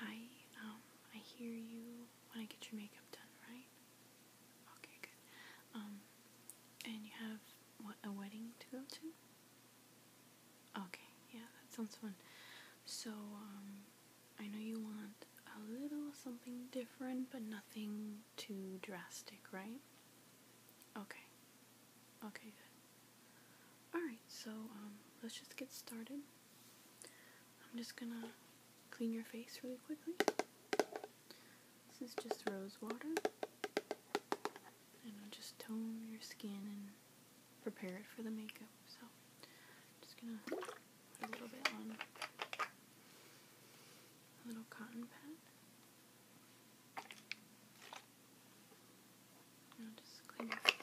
Hi, um, I hear you want to get your makeup done, right? Okay, good. Um, and you have, what, a wedding to go to? Okay, yeah, that sounds fun. So, um, I know you want a little something different, but nothing too drastic, right? Okay. Okay, good. Alright, so um, let's just get started. I'm just gonna clean your face really quickly. This is just rose water. And I'll just tone your skin and prepare it for the makeup. So, I'm just gonna put a little bit on a little cotton pad. And just clean your face.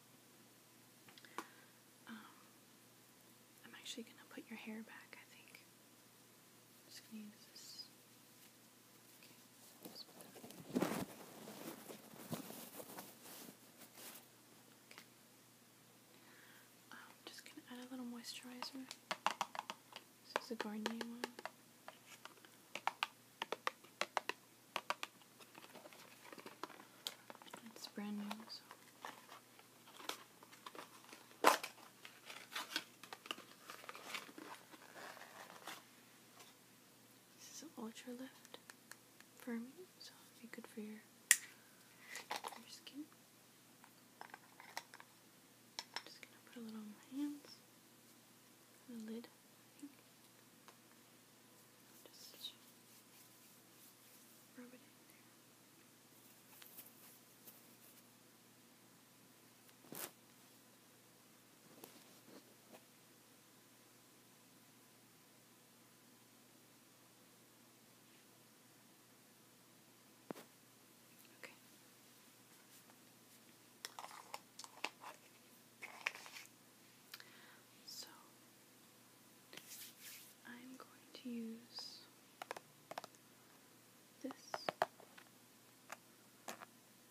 Um, I'm actually going to put your hair back, I think. just going to um, add a little moisturizer. This is a Garnier one. It's brand new. So. This is ultra lift for so it'll be good for your, your skin. just gonna put a little on my hands, the lid, Just Rub it in there. Okay. So I'm going to use this.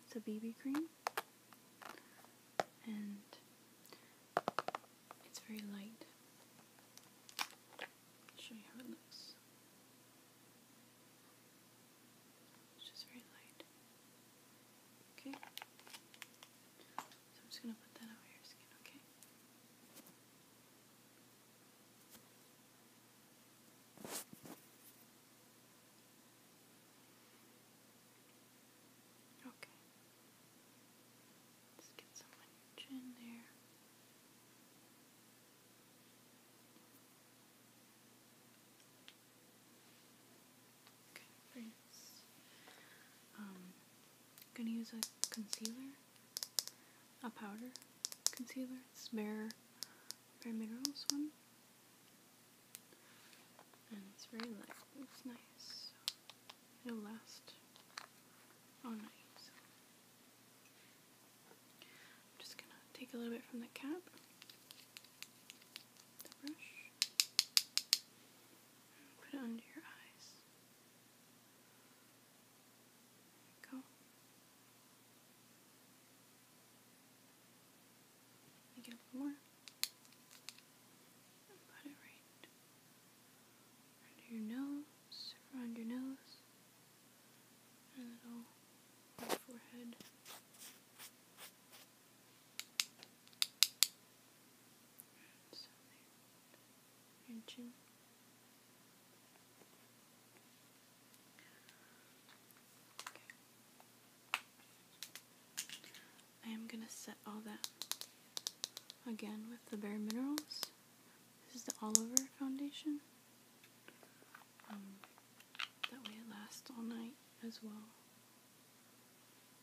It's a BB cream and it's very light. I'll show you how it looks. It's just very light. Okay. I'm just going to put that over your skin, okay? Okay. Let's get some on your there. Okay, very Um, gonna use a concealer, a powder concealer. It's Bare, Bare Minerals one, and it's very light. It's nice. It'll last all night. So. I'm just gonna take a little bit from the cap, the brush, and put it under your eyes. There we go. Make it more. put it right under your nose, around your nose, and a little forehead. So there. I am going to set all that again with the Bare Minerals. This is the All Over Foundation. Um, that way it lasts all night as well.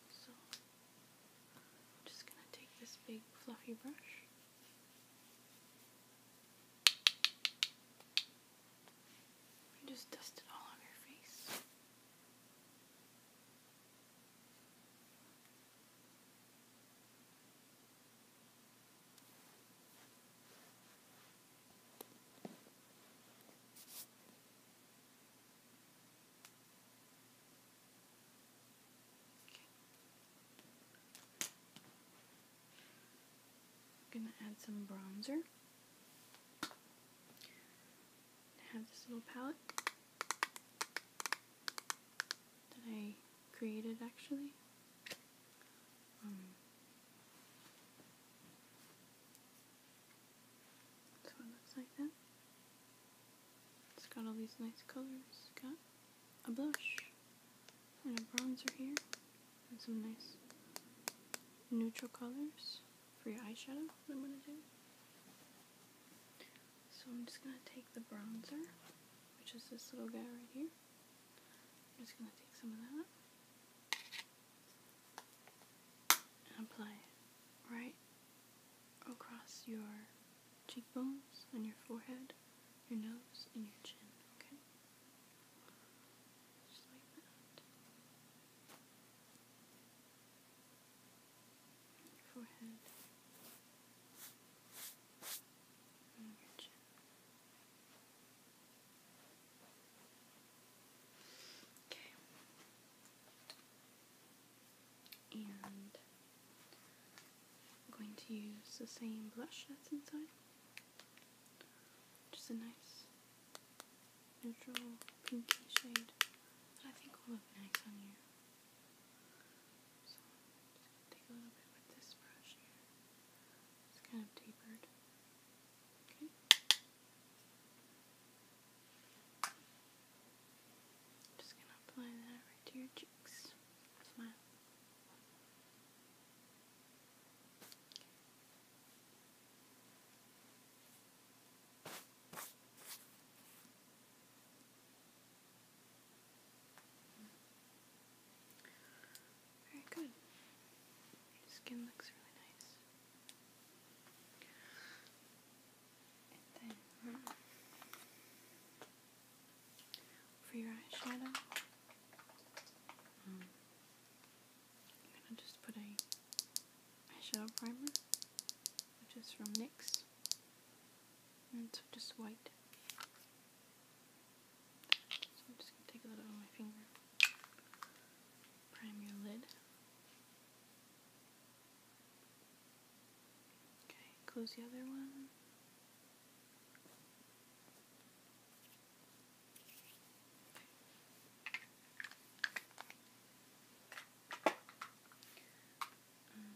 So I'm just going to take this big fluffy brush. And just dust it all on your face. I'm gonna add some bronzer. I have this little palette that I created actually. Um, so it looks like that. It's got all these nice colors. got a blush and a bronzer here. And some nice neutral colors for your eyeshadow I'm going to do. So I'm just going to take the bronzer, which is this little guy right here. I'm just going to take some of that and apply it right across your cheekbones, on your forehead, your nose, and your chin, okay? Just like that. Your forehead. And your chin. Okay and I'm going to use the same blush that's inside, Just a nice neutral pinky shade that I think will look nice on you. So take a little bit with this brush here. It's kind of tapered. Okay. Just gonna apply that right to your cheeks. Smile. Very good. Your skin looks really nice. Hmm. for your eyeshadow, mm, I'm gonna just put a eyeshadow primer, which is from NYX, and it's just white. So I'm just gonna take a little on my finger, prime your lid. Okay, close the other one. Mm,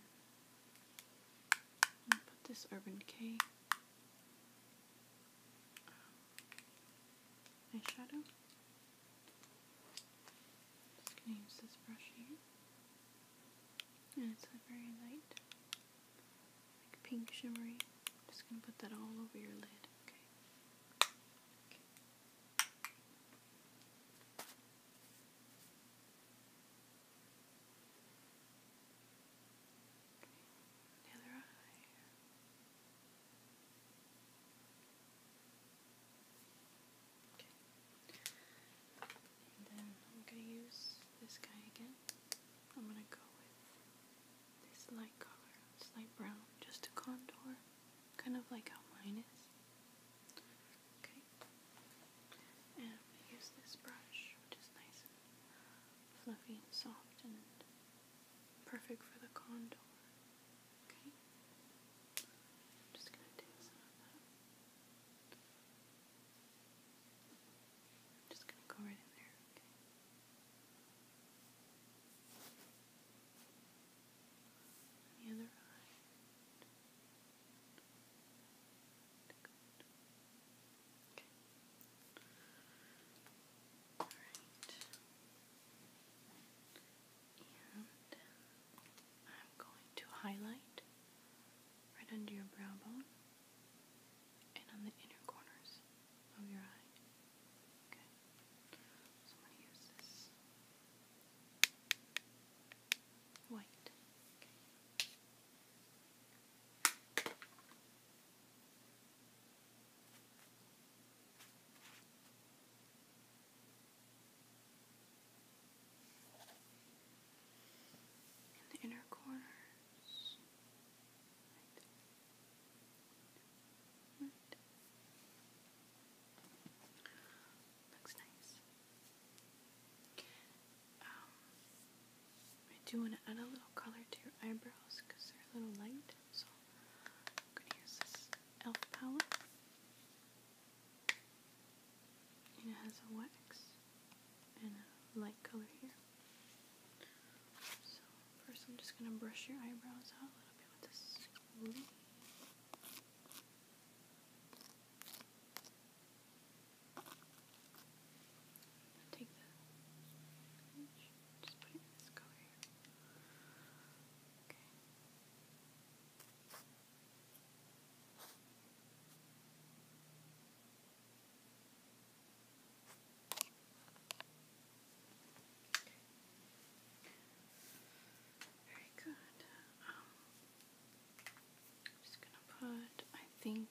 put this Urban Decay eyeshadow just gonna use this brush here. And it's a very light, like pink shimmery. Just gonna put that all over your lid, okay? okay. The other eye. Okay then I'm gonna use this guy again. I'm gonna go with this light color, this light brown, just to contour, kind of like how mine is. Okay. And I'm gonna use this brush, which is nice and fluffy and soft and perfect for the contour. Okay. I'm just going to do some of that. just going to go right in there, okay? the other eye. Good. Okay. Alright. And I'm going to highlight right under your brow bone and on the inner corners of your eye. Okay. So I'm going to use this white the inner corners. Right. Right. Looks nice. Um, I do want to add a little color to your eyebrows because they're a little light, so I'm going to use this e.l.f. palette. And it has a wax and a light color here. So first I'm just going to brush your eyebrows out a little bit with this Take the just put this color here. Okay. Very good. I'm just gonna put, I think,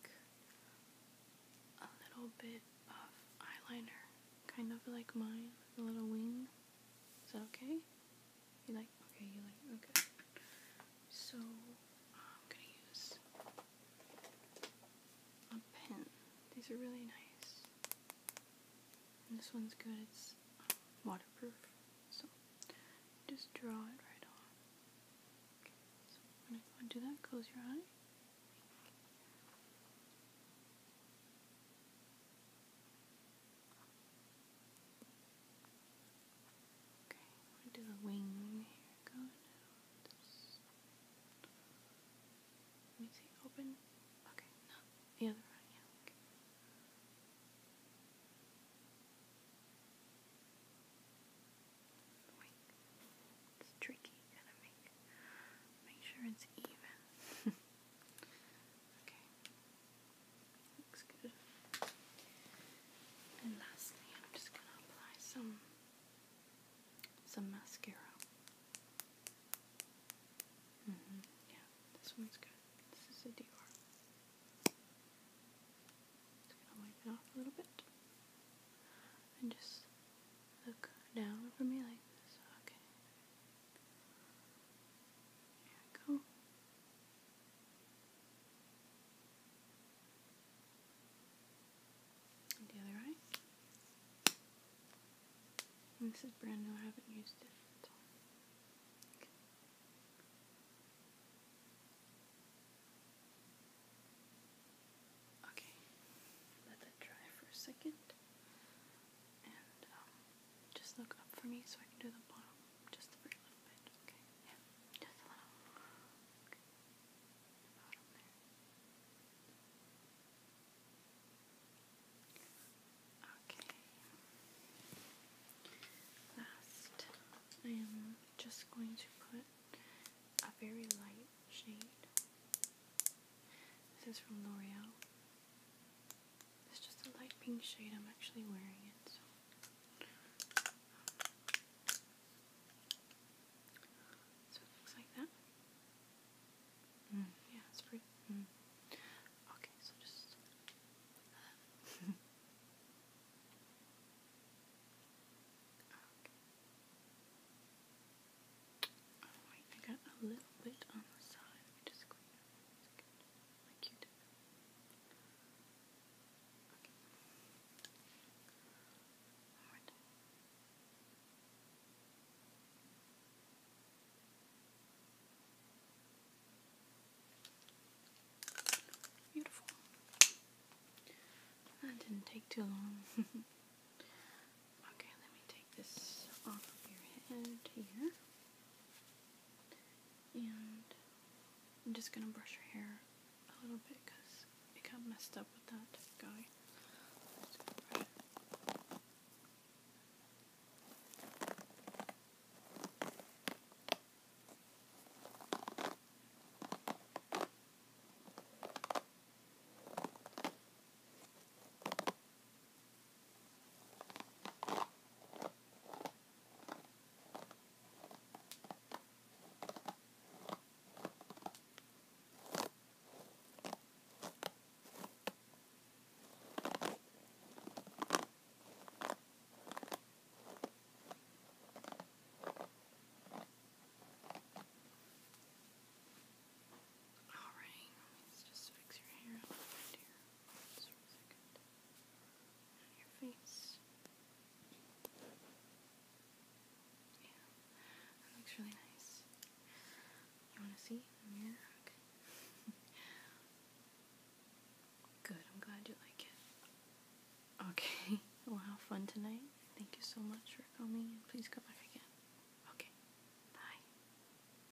a little bit of eyeliner, kind of like mine, a little wing. Is that okay? You like? Okay, you like? Okay. So, I'm gonna use a pen. These are really nice. And this one's good. It's um, waterproof. So, just draw it right on. Okay, so when I go and do that, close your eye. Okay, we'll do the wing here Let me see, open. Okay, no, the other one, Okay. Wait, it's tricky. Gotta make make sure it's even. okay. Looks good. And lastly, I'm just gonna apply some some mascara. Mm-hmm, yeah, this one's good. This is a DR. Just gonna wipe it off a little bit. And just look down for me like this. Okay. There we go. And the other eye. this is brand new, I haven't used it at Okay, let that dry for a second. Um, just look up for me so I can do the bottom just a very little bit, okay? just a little. Okay. Last, I am just going to put a very light shade. This is from L'Oreal. It's just a light pink shade. I'm actually wearing it. So. it looks like that. Mm. yeah, it's pretty. Mm. Okay, so just. Uh, okay. I got a little bit on the side. just clean it. Beautiful. That didn't take too long. okay, let me take this off of your head here. And I'm just going to brush your hair a little bit because it got messed up with that guy. All right, let's just fix your hair a little bit here. Just for a On your face. Yeah, looks really nice. You want to see the mirror? Good, I'm glad you like it. Okay, well, have fun tonight. Thank you so much for coming. and please come back again. Okay, bye.